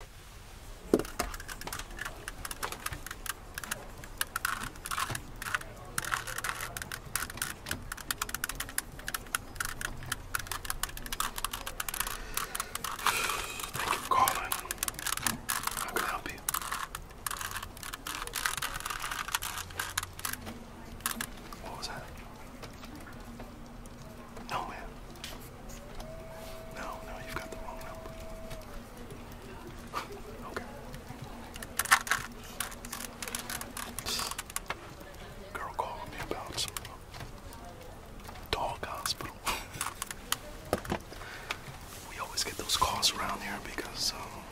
Thank you for calling. can help you? What was that? No, man. No, no, you've got the wrong number. okay. Girl called me about uh, dog hospital. we always get those calls around here because um,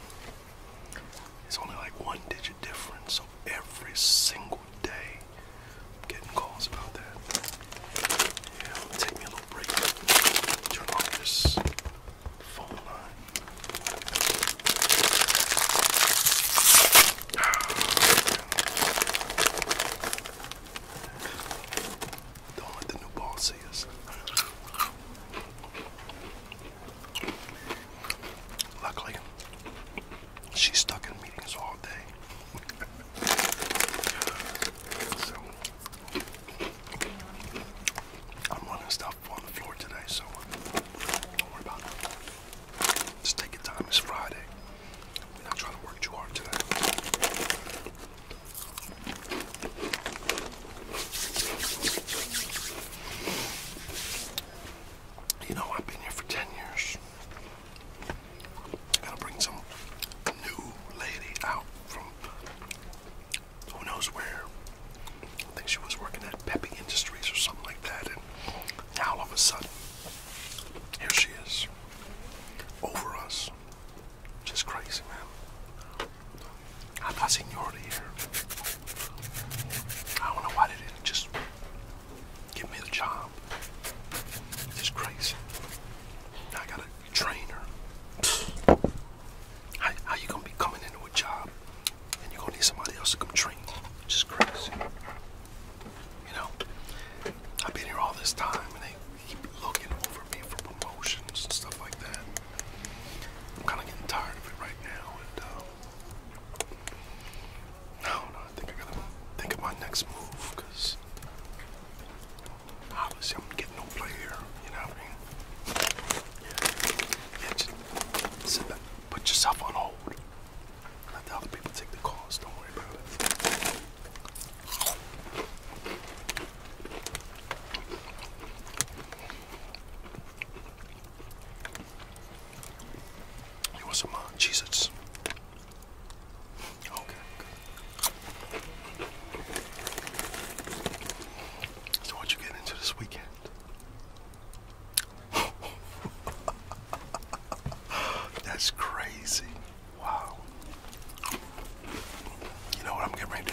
it's only like one digit difference. So every single day getting calls about that. take me a little break. Turn off this phone line. Don't let the new ball see us. Luckily, she's stuck in meetings all day so, I'm running stuff on the floor today, so uh, don't worry about it. Just take your time. It's Friday. not trying to work too hard today. You know, I've been here for 10 years. Gotta bring some new lady out from who knows where. I think she was working at Peppy Industries or something like that, and now all of a sudden, here she is, over us. Just crazy, man. I got seniority here. I don't know why they didn't just Give me the job. It's crazy. I got a trainer. How, you gonna be coming into a job and you gonna need somebody else to come train you? Which crazy. You know, I've been here all this time and they keep looking over me for promotions and stuff like that. I'm kind of getting tired of it right now, um, no, no, I think I gotta think of my next move, obviously I'm getting no play here, you know what I mean? Yeah, yeah just put yourself on hold. Let the people take the calls, don't worry about it. It was some uh, Jesus. Okay, So what you getting into this weekend? That's crazy. Wow. You know what I'm getting ready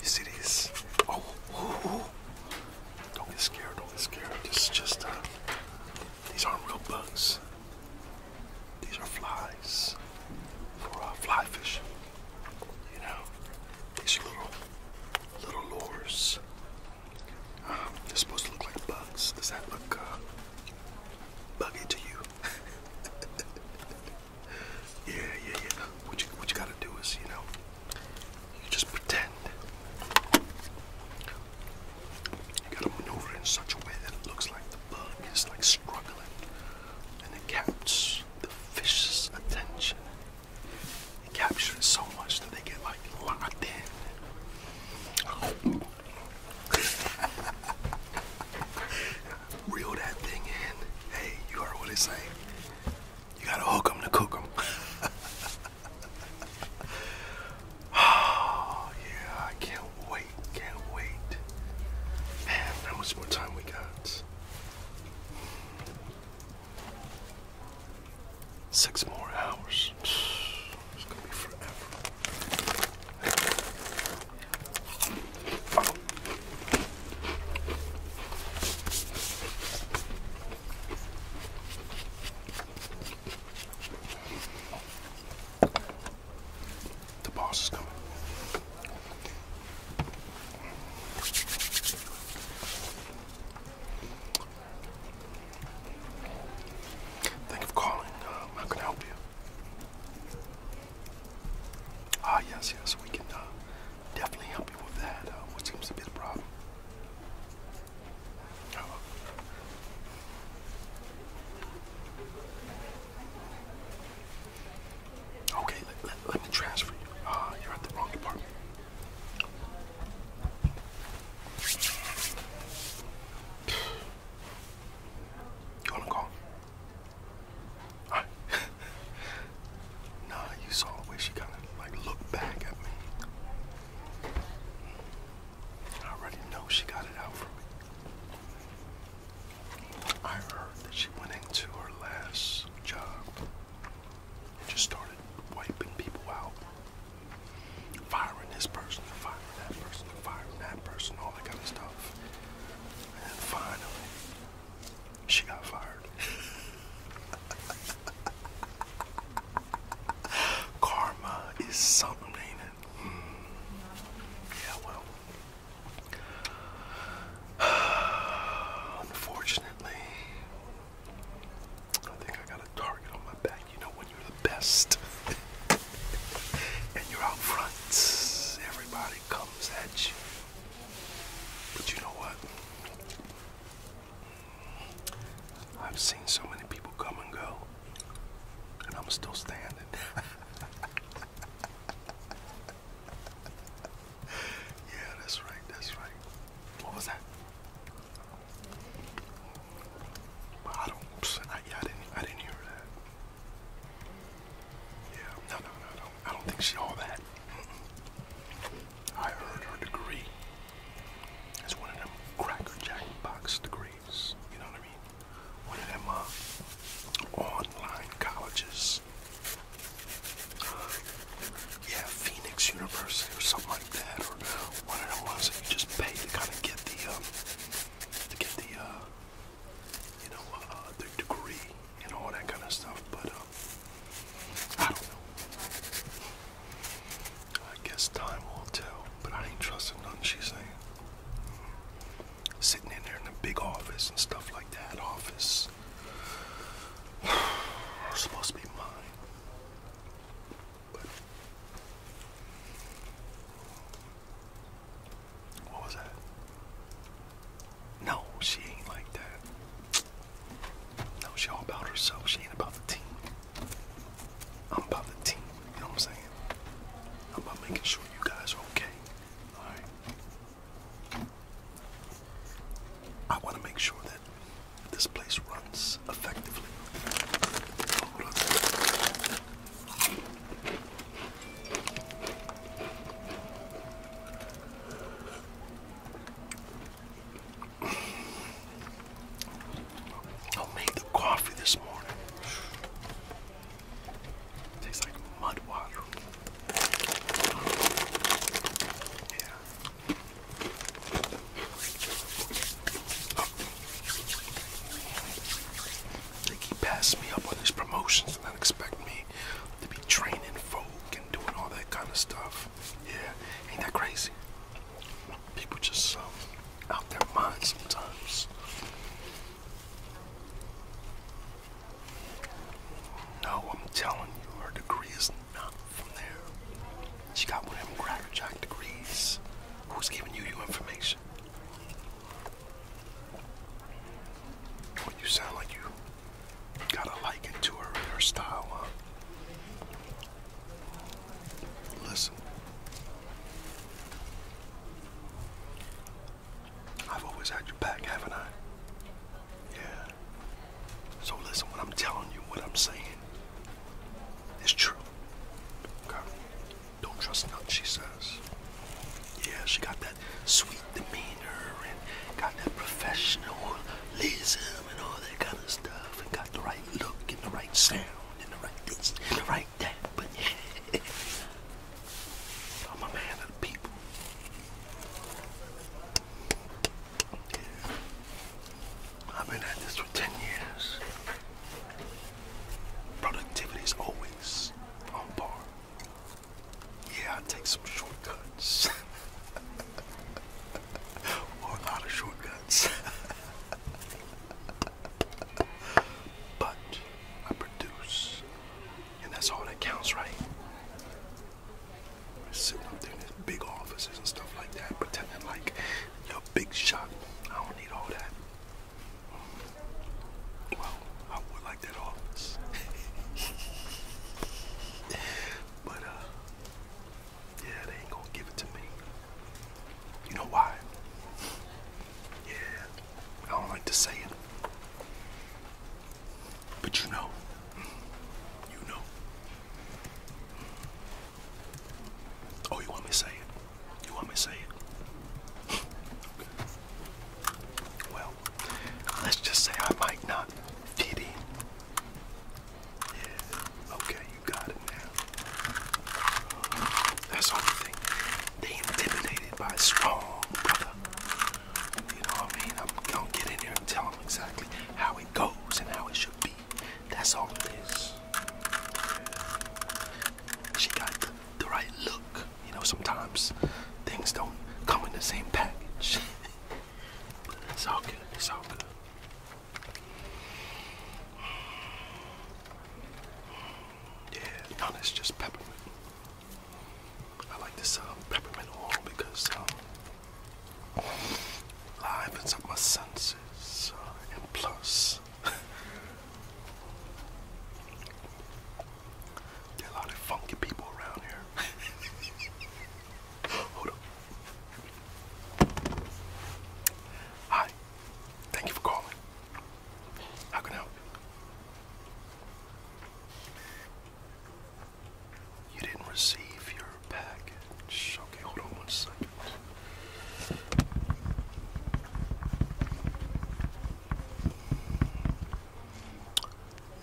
you see these? Oh, don't get scared. Don't get scared. Just, just uh, these aren't real bugs. These are flies for uh, fly fishing. You know, these little, little lures. Um, they're supposed to look like bugs. Does that look uh, buggy to you? yeah, yeah, yeah. What you, what you gotta do is, you know, you just pretend. You gotta maneuver in such a way that it looks like the bug is like struggling, and it captures the fish's attention. It captures it so much that they get like locked in. Reel that thing in. Hey, you heard what they say. You gotta hook 'em to cook 'em. oh yeah, I can't wait, can't wait. Man, how much more time we got? Six more hours. It's gonna be forever. The boss is coming. Thank you for calling. Um, how can I help you? Ah, yes, yes, we can uh, definitely help you with that, uh, which seems to be the problem. Okay, let, me transfer you. Uh, you're at the wrong department. You want call? I, nah, you saw the way she kind of like looked back at me. I already know she got it out for me. I heard that she went into her last job and just started wiping people out. Firing this person, firing that person, firing that person, all that kind of stuff. And finally, she got fired. Karma is something, hmm. Yeah, well. Unfortunately, I think I got a target on my back. You know, when you're the best and you're out front, everybody comes at you. But you know what? I've seen so many people come and go, and I'm still standing. yeah, that's right, that's right. What was that? I don't, I, didn't hear that. Yeah, no, no, no, no. I don't think she saw that. I earned her degree as one of them Cracker Jack box degrees. You know what I mean? One of them uh, online colleges. yeah, Phoenix University or something like that, or one of them ones that you just pay to kind of get the um, to get the uh, you know, uh, degree and all that kind of stuff. But um, I don't know. I guess time will tell. But I ain't trusting nothing she's saying. Sitting in there in the big office and stuff like that. Office supposed to be mine. But what was that? No, she ain't like that. No, she all about herself. She ain't about the team. I'm about the team. You know what I'm saying? I'm about making sure you guys are okay. Alright? I want to make sure that this place runs effectively. Hold on. I'll make the coffee this morning. Tastes like mud water. They keep passing me up on these promotions and expect me to be training folk and doing all that kind of stuff. Yeah, ain't that crazy? People just um, out their mind sometimes. No, I'm telling you, her degree is not from there. She got one of them crackerjack degrees. Who's giving you your information? Well, you sound like you got a liking to her and her style, huh? Listen, I've always had your back, haven't I? Yeah. So listen, when I'm telling you, what I'm saying, it's true. Okay. Don't trust nothing she says. Yeah, she got that sweet demeanor and got that professionalism and all that kind of stuff and got the right look and the right sound and the right this and the right that. But yeah, I'm a man of the people. I've been at this for 10 years. Productivity is always on par. Yeah, I take some shortcuts. a lot of shortcuts. but I produce. And that's all that counts, right? Sitting up there in these big offices and stuff like that, pretending like you're a big shot. I don't need all that. Well, I would like that office. but uh yeah, they ain't gonna give it to me. You know why? Yeah, I don't like to say it. But you know, you know. Oh, you want me to say it? You want me to say it? Well, let's just say I might not fit Yeah, okay, you got it now. That's all They intimidated by strong brother. You know what I mean? I'm gonna get in here and tell them exactly how it goes and how it should be. That's all it is. She got the right look. You know, sometimes things don't come in the same package. it's all good. It's all good. Yeah, no, that's just peppermint. I like this um, peppermint oil because um, livens my senses, uh, and plus there a lot of funky people around here. Hold up. Hi. Thank you for calling. How can I help you? You didn't receive your package. Okay, hold on one second.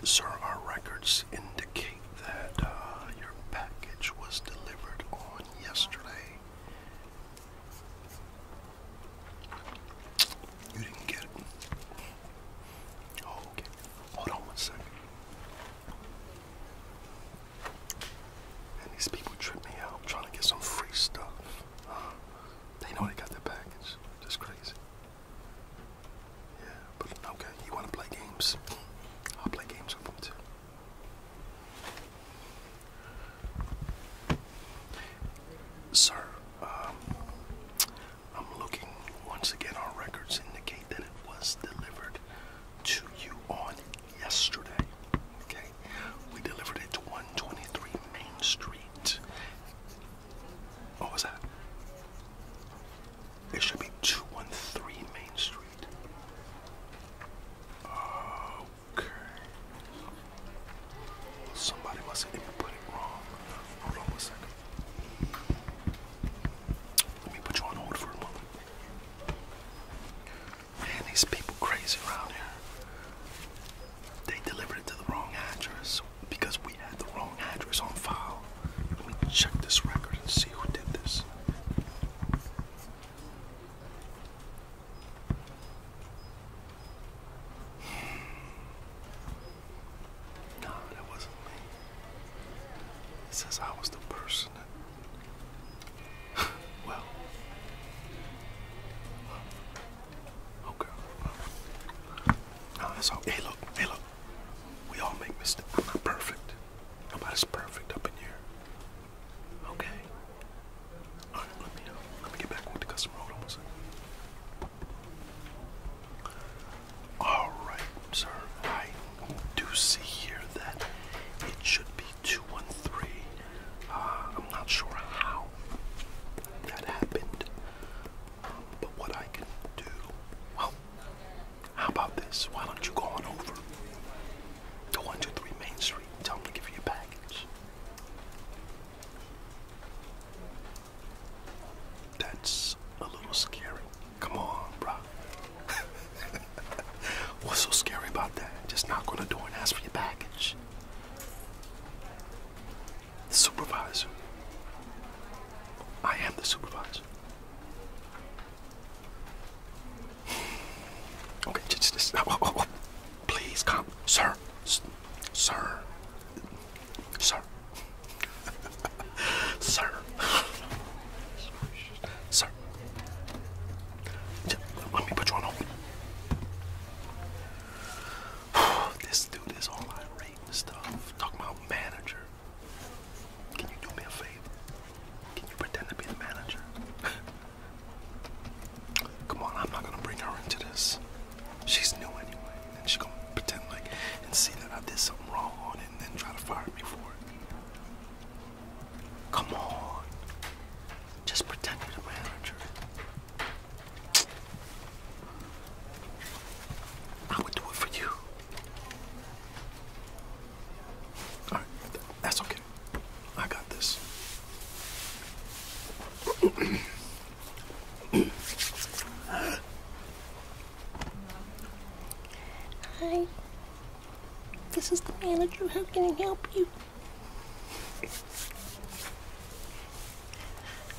Sir, our records indicate that uh, your package was delivered on yesterday. You didn't get it. Oh, okay. Hold on one second. And these people trip me out trying to get some free stuff. They know they got their package. Just crazy. Yeah, but okay. You want to play games? I'll play games with them too. Sir, um, I'm looking once again. Our records indicate that it was delivered to you on yesterday. Okay. We delivered it to 123 Main Street. What was that? It should be 213 Main Street. Okay. Somebody must have put it wrong. Hold on one second. Let me put you on hold for a moment. Man, these people crazy around here. They delivered it to the wrong address because we had the wrong address on file. Let me check this record and see who did this. Hmm. No, that wasn't me. It says I was the person well. Oh girl. that's all. Hey look, hey look. We all make mistakes. I'm not perfect. Nobody's perfect up in here. Okay. Alright, let me uh, let me get back with the customer. Hold on one second. Alright, sir. I do see here that it should be 213. Uh, I'm not sure how that happened, but what I can do. Well, how about this? Why don't you go on over to 123 Main Street? tell them to give you a package. That's a little scary. Come on, bro. What's so scary about that? Just knock on the door and ask for your package supervisor. I am the supervisor. Okay, just, just oh, oh, oh, please come, sir, sir, sir, sir, sir. Let me put you on hold. this dude is all irate and stuff. Talking about manager. Can you do me a favor? Can you pretend to be the manager? Come on, I'm not gonna bring her into this. She's new anyway, and she's gonna pretend like and see that I did something wrong on it and then try to fire me for it. Come on. Just pretend you're the manager. I would do it for you. All right, that's okay. I got this. Hi. This is the manager. How can I help you?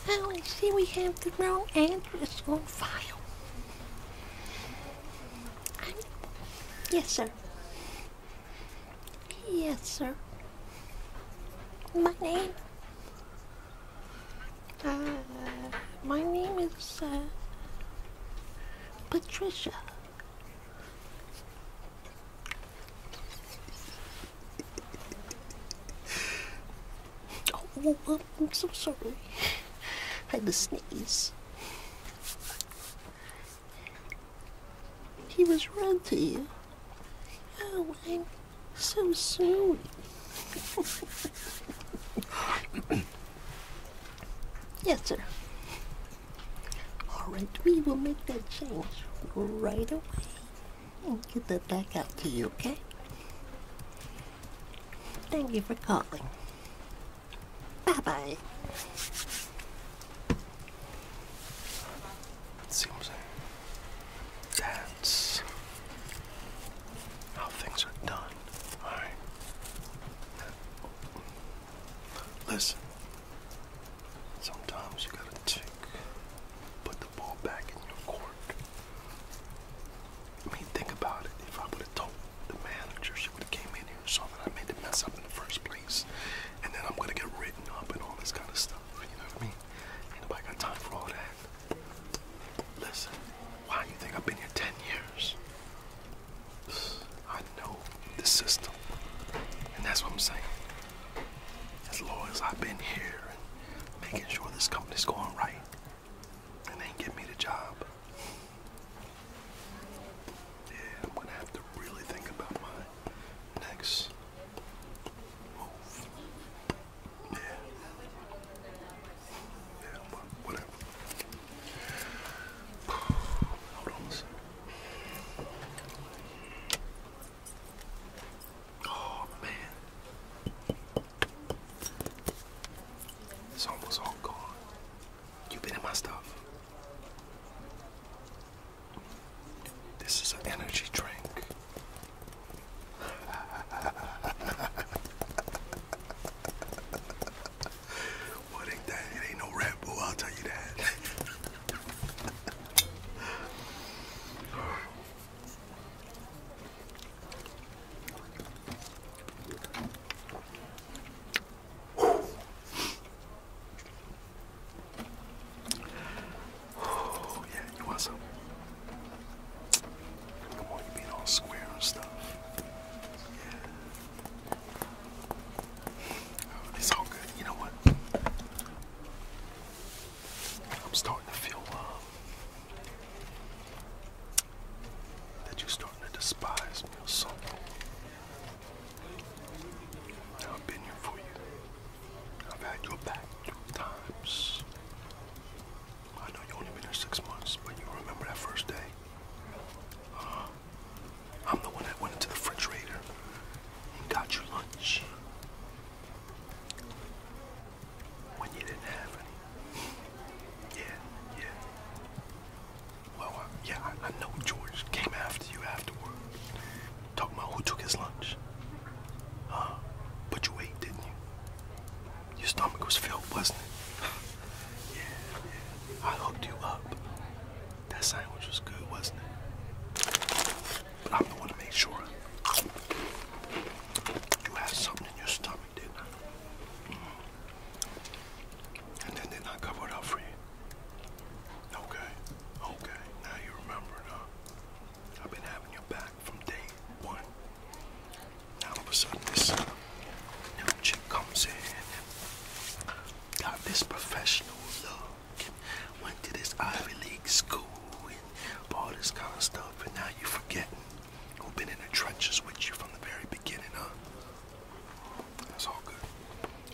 Oh, I see we have the wrong address on file. Yes, sir. Yes, sir. My name... Uh, my name is, uh, Patricia. Oh, I'm so sorry. I had to sneeze. He was rude to you. Oh, I'm so sorry. yes, sir. Alright, we will make that change right away and get that back out to you, okay? Thank you for calling. Bye bye. It seems like that's how things are done. Alright. Listen, sometimes you gotta take, put the ball back in your court. I mean, think about it. If I would have told the manager, she would have came in here saw that I made the mess up in the first place, and then I'm gonna get written up and all this kind of stuff. You know what I mean? Ain't nobody got time for all that. Listen, why do you think I've been here 10 years? I know the system. And that's what I'm saying. As long as I've been here and making sure this company's going right and they give me the job. Yeah, I'm gonna have to really think about my next Yeah. Yeah, whatever. Hold on Oh man. It's almost all gone. You've been in my stuff. This is an energy drink what ain't that? It ain't no Red Bull, I'll tell you that. Oh, yeah, you want some? Come on, you being all square and stuff. Yeah. Oh, it's all good. You know what? I'm starting to feel um, that you're starting to despise me or something. I've been here for you. I've had your back two times. I know you only been here six months, but you remember that first day. Uh, I'm the one that went into the refrigerator and got your lunch when you didn't have any. Yeah, yeah. Well, uh, yeah, I, know George came after you afterward. Talking about who took his lunch. Huh? But you ate, didn't you? Your stomach was filled, wasn't it? yeah. I hooked you up. That sandwich was good, wasn't it? But I'm the one to make sure you had something in your stomach, didn't I? Mm. And then did I cover it up for you? Okay, okay. Now you remember, huh? I've been having your back from day one. Now all of a sudden this new chick comes in got this professional look went to this Ivy League school and all this kind of stuff, and now you're forgetting who been in the trenches with you from the very beginning, huh? That's all good.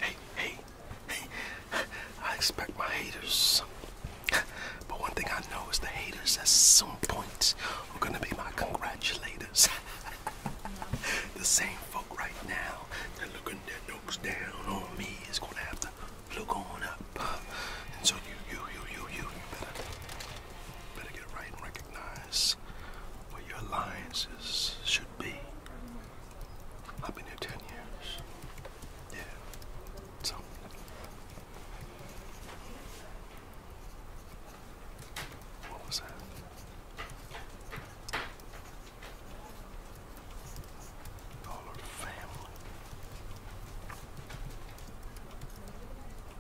Hey, hey, hey, I expect my haters. But one thing I know is the haters at some point are gonna be my congratulators. the same right now, they're looking their nose down on me, is gonna have to look on up. and so you, you, you, you, you, you better, better get right and recognize where your alliances should be. I've been here 10 years. Yeah. So. What was that? Dollar family.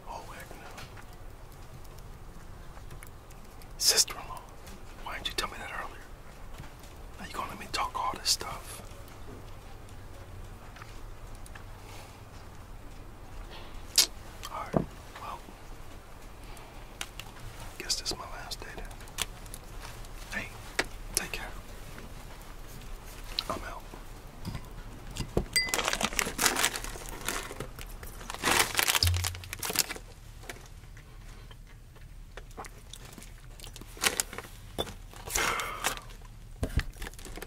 Oh heck no. Sister-in-law, why didn't you tell me that earlier? Now you gonna let me talk all this stuff. Alright, well, Guess this is my last day Hey, take care. I'm out.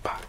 Bye.